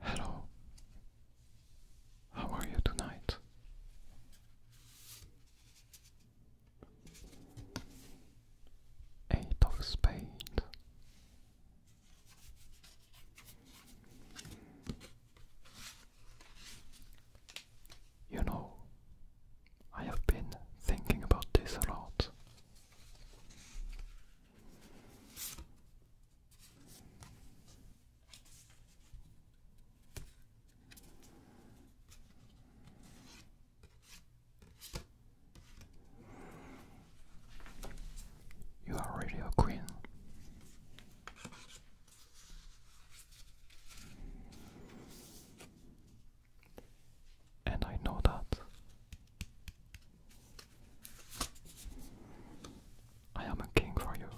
Hello. How are you tonight? Eight of spades. You know, I have been thinking about this a lot. You are really a queen. And I know that I am a king for you,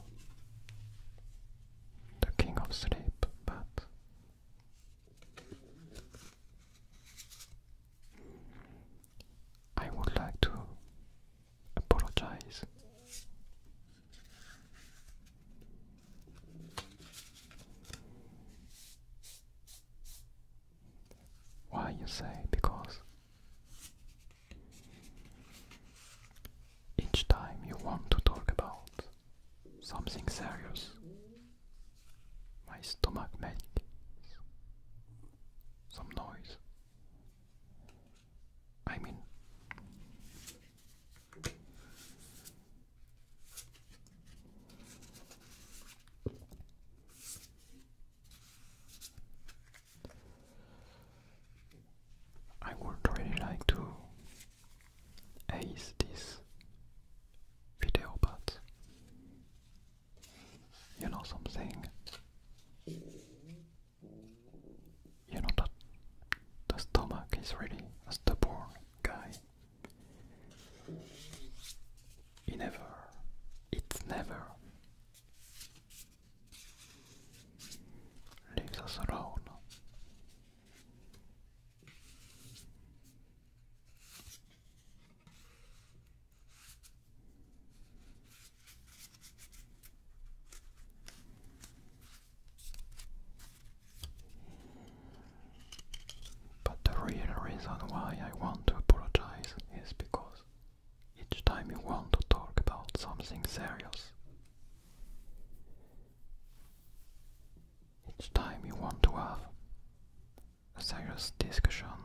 the king of sleep, but I would like to apologize. Why you say? Because each time you want to talk about something serious, my stomach makes some noise. I mean, I would really like to ace this video, but you know something. You know that the stomach is really a stubborn guy. never, its never Ligga såra honom. But the real reason why I want to apologize is because each time you want to talk about something serious. Each time you want to have a serious discussion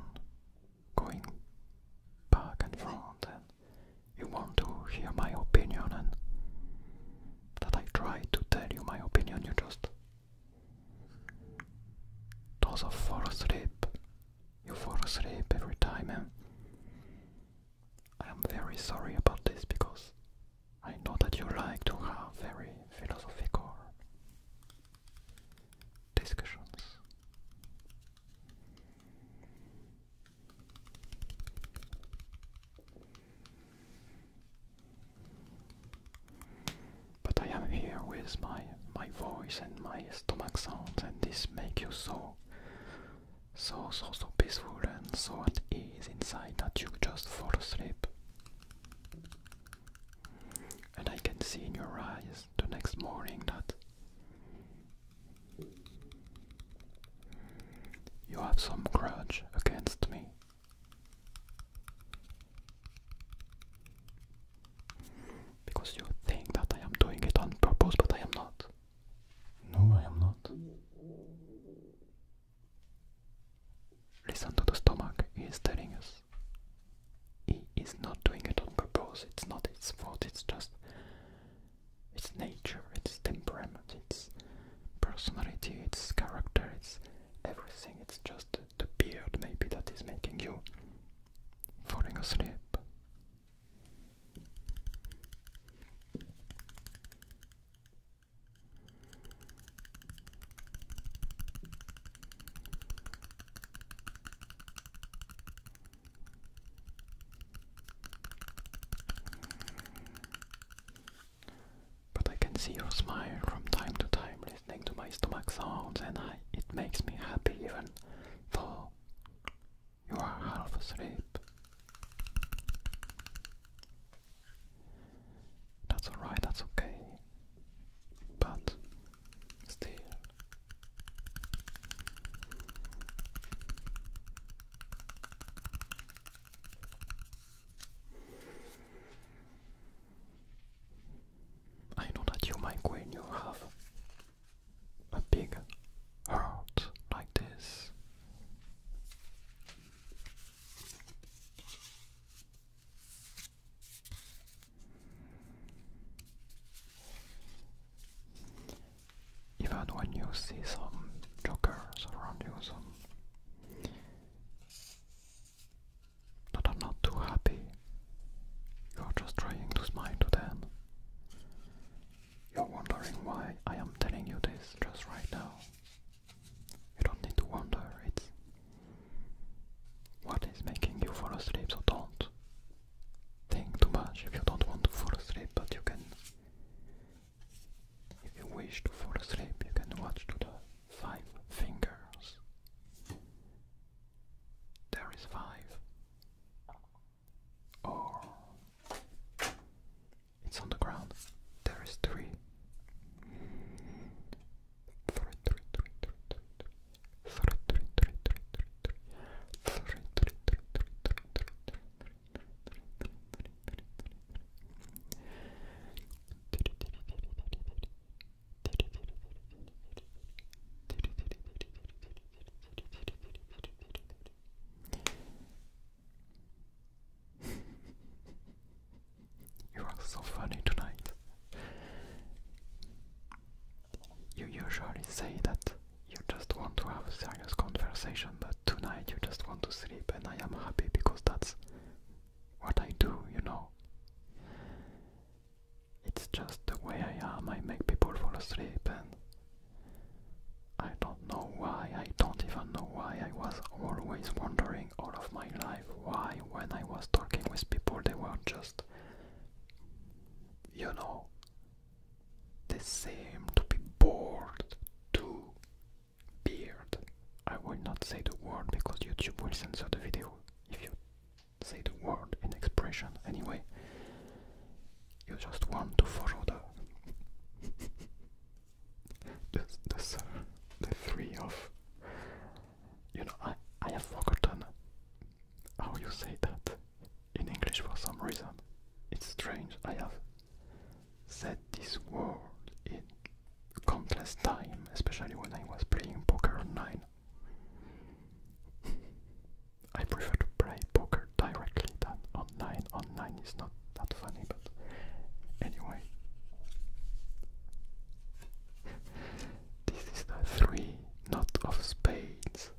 going back and forth, and you want to hear my opinion, and that I try to tell you my opinion, you just does fall asleep you fall asleep every time, and eh? I am very sorry about this because I know that you like to have very philosophical discussions. But I am here with my my voice and my stomach sounds, and this makes you so, so, so, so peaceful and so at ease inside that you just fall asleep. And I can see in your eyes the next morning that you have some grudge against me. Because you think that I am doing it on purpose, but I am not. No, I am not. Listen to the stomach, he is telling us. He is not doing it on purpose, it's not its fault, it's just. It's nature, it's temperament, it's personality, it's character, it's everything. It's just the beard, maybe, that is making you falling asleep. But I can see your smile from time to time, listening to my stomach sounds and I, it makes me happy even though you are half asleep. That's alright, that's okay. But still. I know that you, my queen, you have a big heart like this. Even when you see some jokers around you, that are not too happy. You are just trying to smile to them. You're wondering why I am telling you this just right now. You don't need to wonder, it's what is making you fall asleep, so don't think too much if you don't want to fall asleep, but you can if you wish to fall asleep you can watch to the five fingers. There is five. Or it's on the ground. There is three. Three, three, three, three, three, three, three, three, three, three, three, three, three, three, three, three you are so funny tonight. You usually say that you just want to have a serious conversation, but tonight you just want to sleep, and I am happy because that's what I do, you know. It's just the way I am. I make people fall asleep, and I don't know why. I don't even know why. I was always wondering all of my life why, when I was talking with people, they were just, you know, they seem to be bored too. beard. I will not say the word because YouTube will censor the video if you say the word in expression anyway. You just want to follow the the the, the three of you know I I have forgotten how you say that in English for some reason. It's strange. I have said this word in countless time, especially when I was playing poker online. I prefer to play poker directly than online. Online is not that funny, but anyway. this is the three not of spades.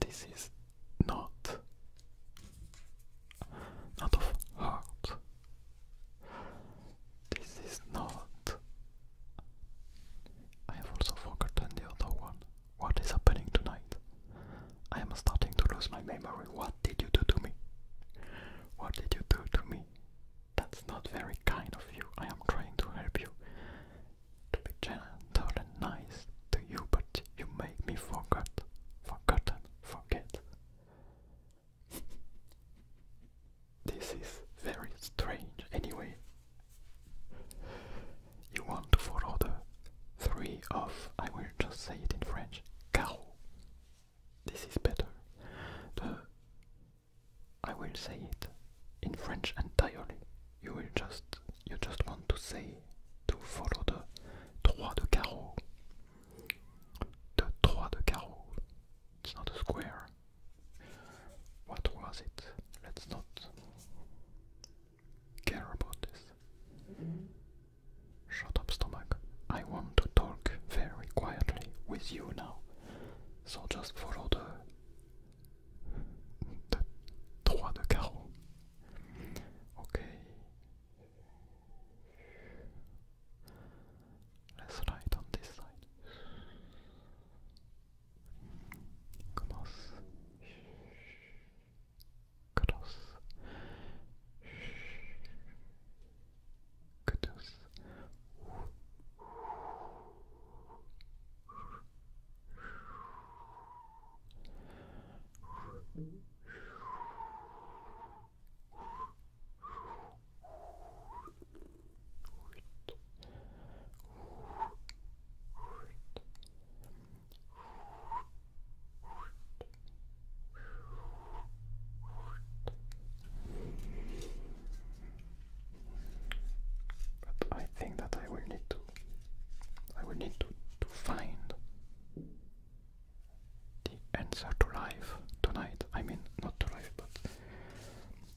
This is not not of heart. This is not. I have also forgotten the other one. What is happening tonight? I am starting to lose my memory. What did you do to me? What did you do to me? That's not very kind of you. I am trying to help you. To be gentle and nice to you, but you make me forget. Forgotten. Forget. this is very strange anyway. You want to follow the three of, I will just say it in French, cow. This is better. The I will say it in French entirely. You will just you just want to say to follow the trois de carreau the trois de carreau. It's not a square. What was it? Let's not care about this. Shut up, stomach. I want to talk very quietly with you now. So just follow the the trois de carreau. Okay. Let's write on this side. Cross. Cross. Cross. But I think that I will need to I will need to to find the answer to life tonight. I mean, not to life, but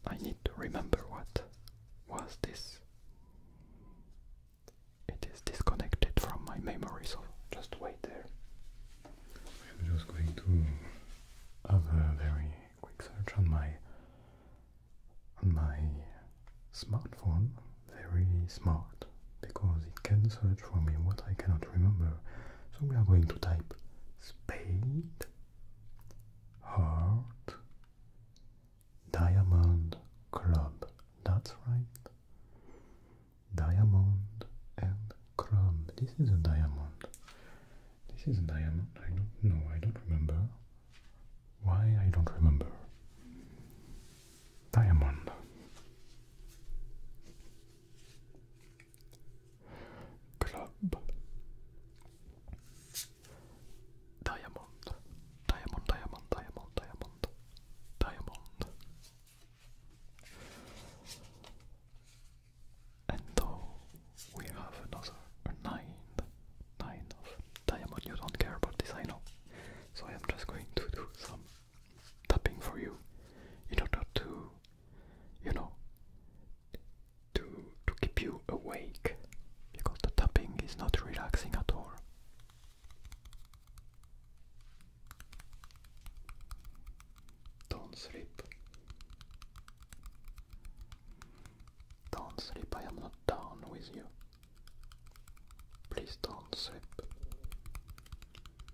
I need to remember what was this. It is disconnected from my memory, so just wait there. I'm just going to have a very quick search on my on my smartphone. Very smart because it can search for me what I cannot remember so we are going to type spade, heart, diamond, club. That's right. Diamond and club. This is a diamond. This is a diamond. I don't know. I don't remember. Why I don't remember. Diamond. Club Diamond Diamond Diamond Diamond Diamond Diamond And though we have another a nine nine of diamond you don't care about this I know so I am just going to do some tapping for you in order to you know to to keep you awake because the tapping is not relaxing at all don't sleep don't sleep i am not down with you please don't sleep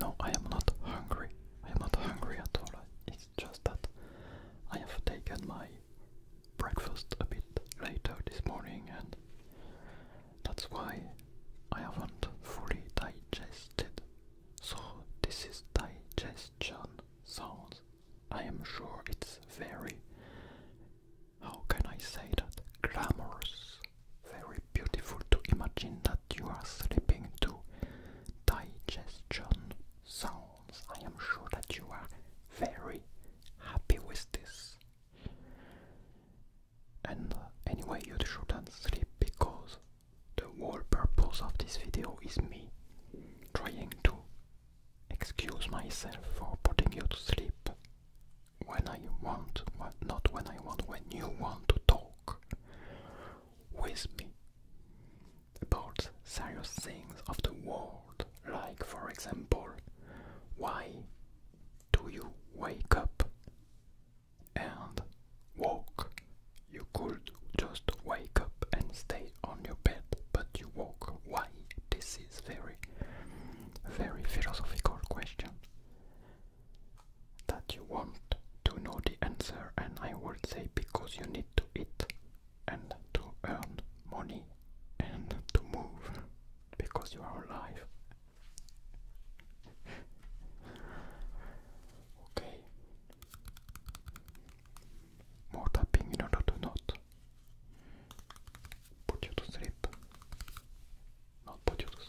No, I am not hungry. I am not hungry at all. It's just that I have taken my breakfast a bit later this morning and that's why I haven't fully digested. So this is digestion sounds. I am sure it's very how can I say that? Glamorous. Very beautiful to imagine that you are sleeping to digestion sounds. I am sure that you are very happy with this. And uh, anyway, you shouldn't sleep because the whole purpose of this video is me trying to excuse myself for putting you to sleep when I want, not when I want, when you want to talk with me about serious things of the world, like for example, why do you wake up and walk? You could just wake up and stay on your bed, but you walk. Why? This is very, very philosophical question that you want to know the answer, and I would say because you need to eat and to earn money and to move because you are alive. okay. More tapping in order to not put you to sleep. Not put you to sleep.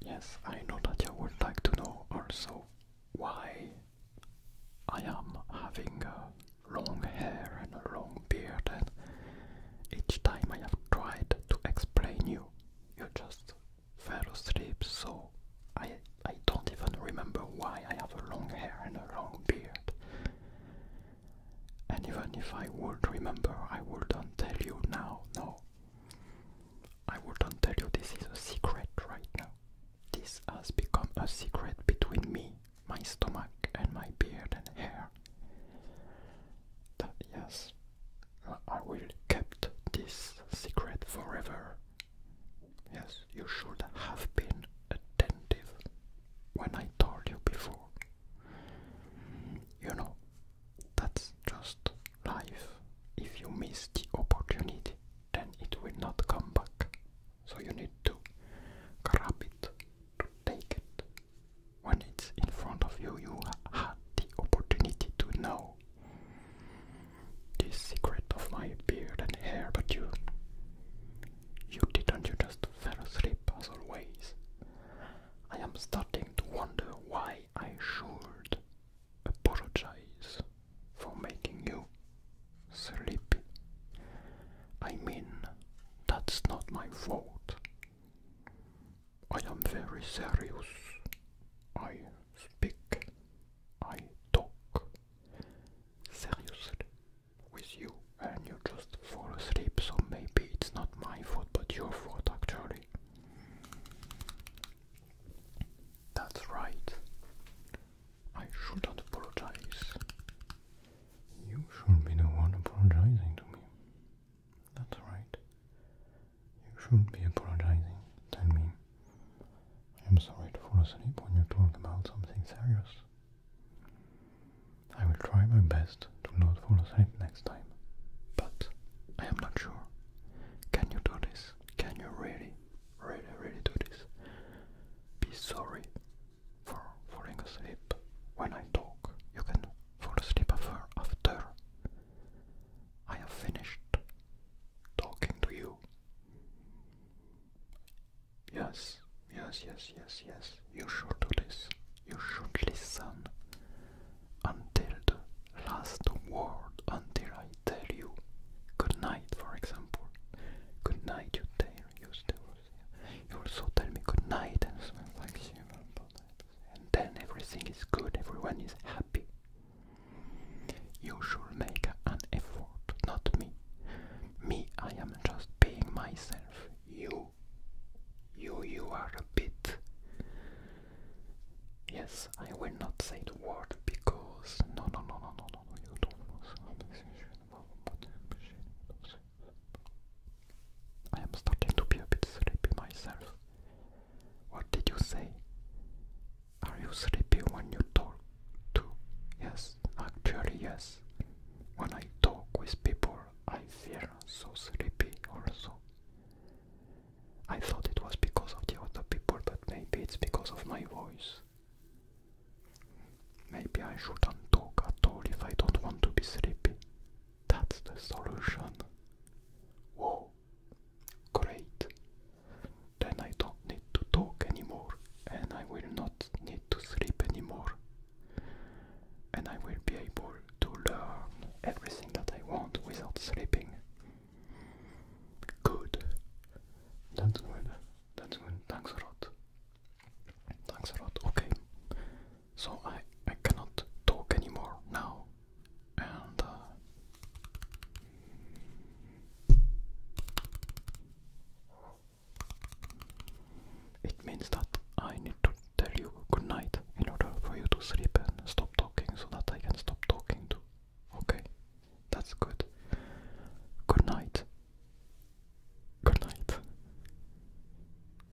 Yes, I know that you would like to know also why I am having uh, long hair and a long beard and each time I have tried to explain you, you just fell asleep, so I I don't even remember why I have a long hair and a long beard. And even if I would remember, I wouldn't tell you now, no. I wouldn't tell you this is a secret right now. This has become a secret between me, my stomach, and my beard and hair. That, yes, I will kept this secret forever. Yes, you should have been attentive when I told you before. You know, that's just life. If you miss the opportunity, then it will not come back. So you need to grab it, to take it, when it's in front of you, you had the opportunity to know the secret of my beard and hair, but you you didn't, you just fell asleep as always. I am starting to wonder why I should apologize for making you sleepy. I mean, that's not my fault. I am very serious. I speak. I talk. Seriously. With you, and you just fall asleep, so maybe it's not my fault but your fault actually. That's right. I shouldn't apologize. You should be the one apologizing to me. That's right. You shouldn't be apologizing. to me. I'm sorry to fall asleep when you talk about something serious. I will try my best to not fall asleep next time. But I am not sure. Can you do this? Can you really, really, really do this? Be sorry for falling asleep when I talk. You can fall asleep after I have finished talking to you. Yes, yes, yes, yes, yes, you should do this. You should listen until the last word, until I tell you good night, for example. Good night, you tell you still. You also tell me good night and something like you. But and then everything is good, everyone is happy. You should make an effort, not me. Me, I am just being myself. You, you, you are a bit. Yes, I will not say the word because no, no, no, no, no, no, you don't. I am starting to be a bit sleepy myself. What did you say? Are you sleepy when you talk to? Yes, actually, yes. When I talk with people, I feel so sleepy also. I thought it was because of the other people, but maybe it's because of my voice. Maybe I shouldn't talk at all if I don't want to be sleepy. That's the solution. Whoa, great. Then I don't need to talk anymore, and I will not need to sleep anymore. And I will be able to learn everything that I want without sleeping. Good. That's good. That's good. Thanks a lot. Thanks a lot. Okay so I, I cannot talk anymore now and uh, it means that I need to tell you good night in order for you to sleep and stop talking so that I can stop talking too. Okay, that's good. Good night. Good night.